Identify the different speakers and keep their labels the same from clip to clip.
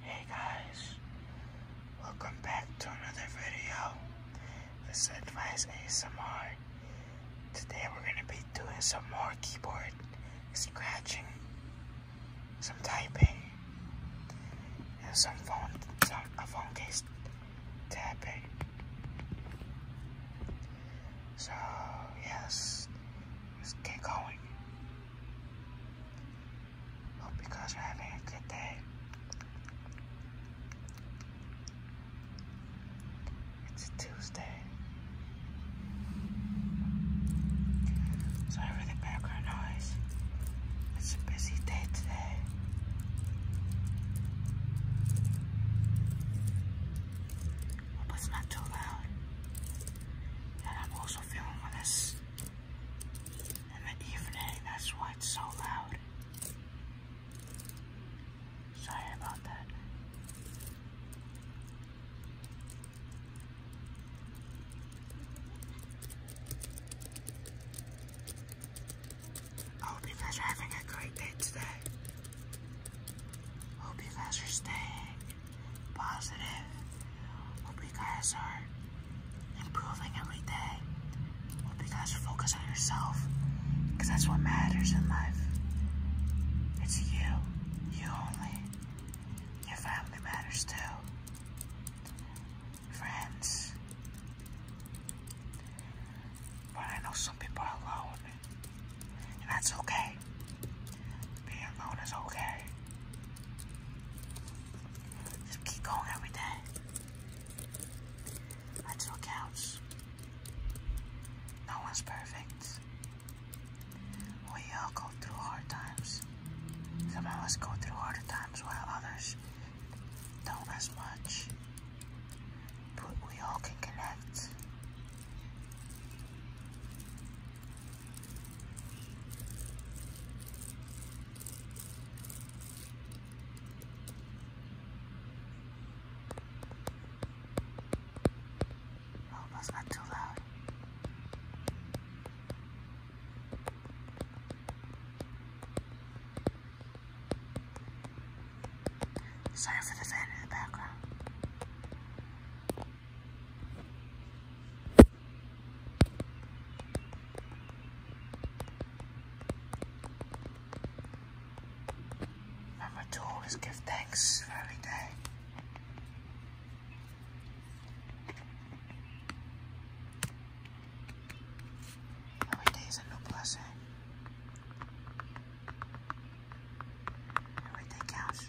Speaker 1: Hey guys, welcome back to another video. This is Advice ASMR. Today we're gonna be doing some more keyboard scratching, some typing, and some phone, some phone case tapping. So yes, let's get going. Hope you guys are having a good day. It's Tuesday. Sorry for the background noise. It's a busy day today. Hope it's not too loud. And I'm also in the evening. That's why it's so loud. Sorry about that. I hope you guys are having a great day today. Hope you guys are staying positive. Hope you guys are improving every day. Hope you guys focus on yourself because that's what matters in life. It's you, you only. Your family matters too. Friends. But I know some people are alone. And that's okay. Being alone is okay. Just keep going every day. That's what counts. No one's perfect. We all go through hard times. Some of us go through harder times while others don't as much but we all can connect. Oh, not too loud. Sorry for the fan in the background. Remember to always give thanks every day. Every day is a new blessing. Everything else.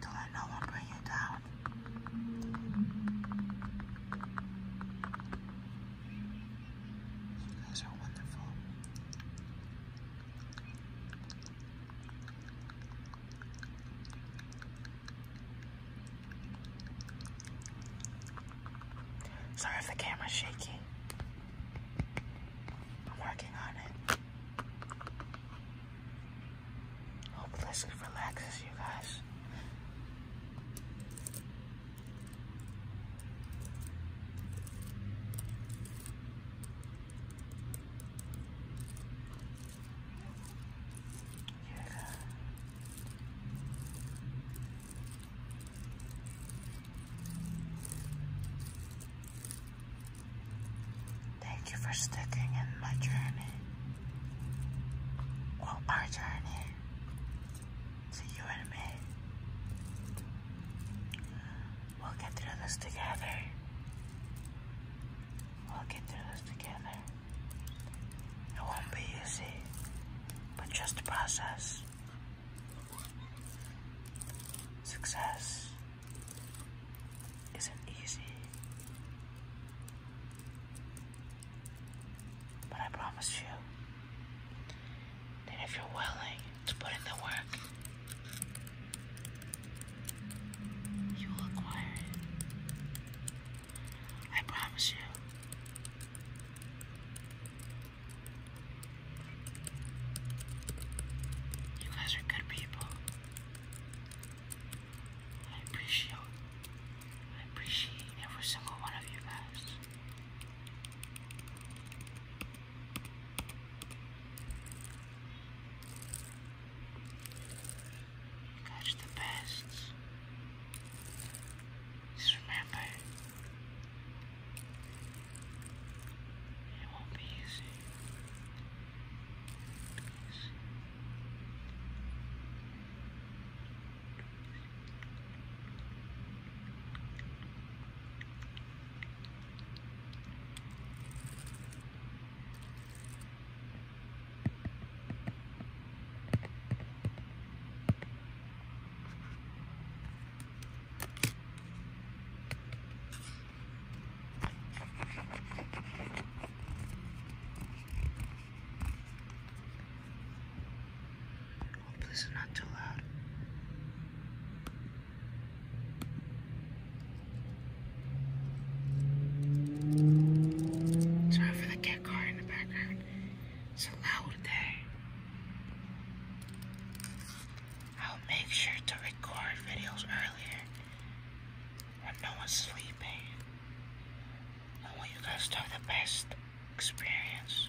Speaker 1: Don't let no one bring you down. You guys are wonderful. Sorry if the camera's shaky. I'm working on it. Hope this relaxes you guys. Thank you for sticking in my journey. Well, our journey to you and me. We'll get through this together. We'll get through this together. It won't be easy, but just a process. Success isn't easy, but I promise you that if you're willing to put in the work, you will acquire it. I promise you. You guys are good people. I appreciate I appreciate every single one of you guys. Catch the pests. Just remember, it won't be easy. Hope this not too loud. Sorry for the cat in the background. It's a loud day. I'll make sure to record videos earlier when no one's sleeping. I want you guys to have the best experience.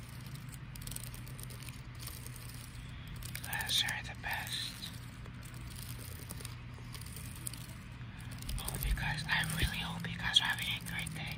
Speaker 1: Those are the best. Hope you guys, I really hope you guys are having a great day.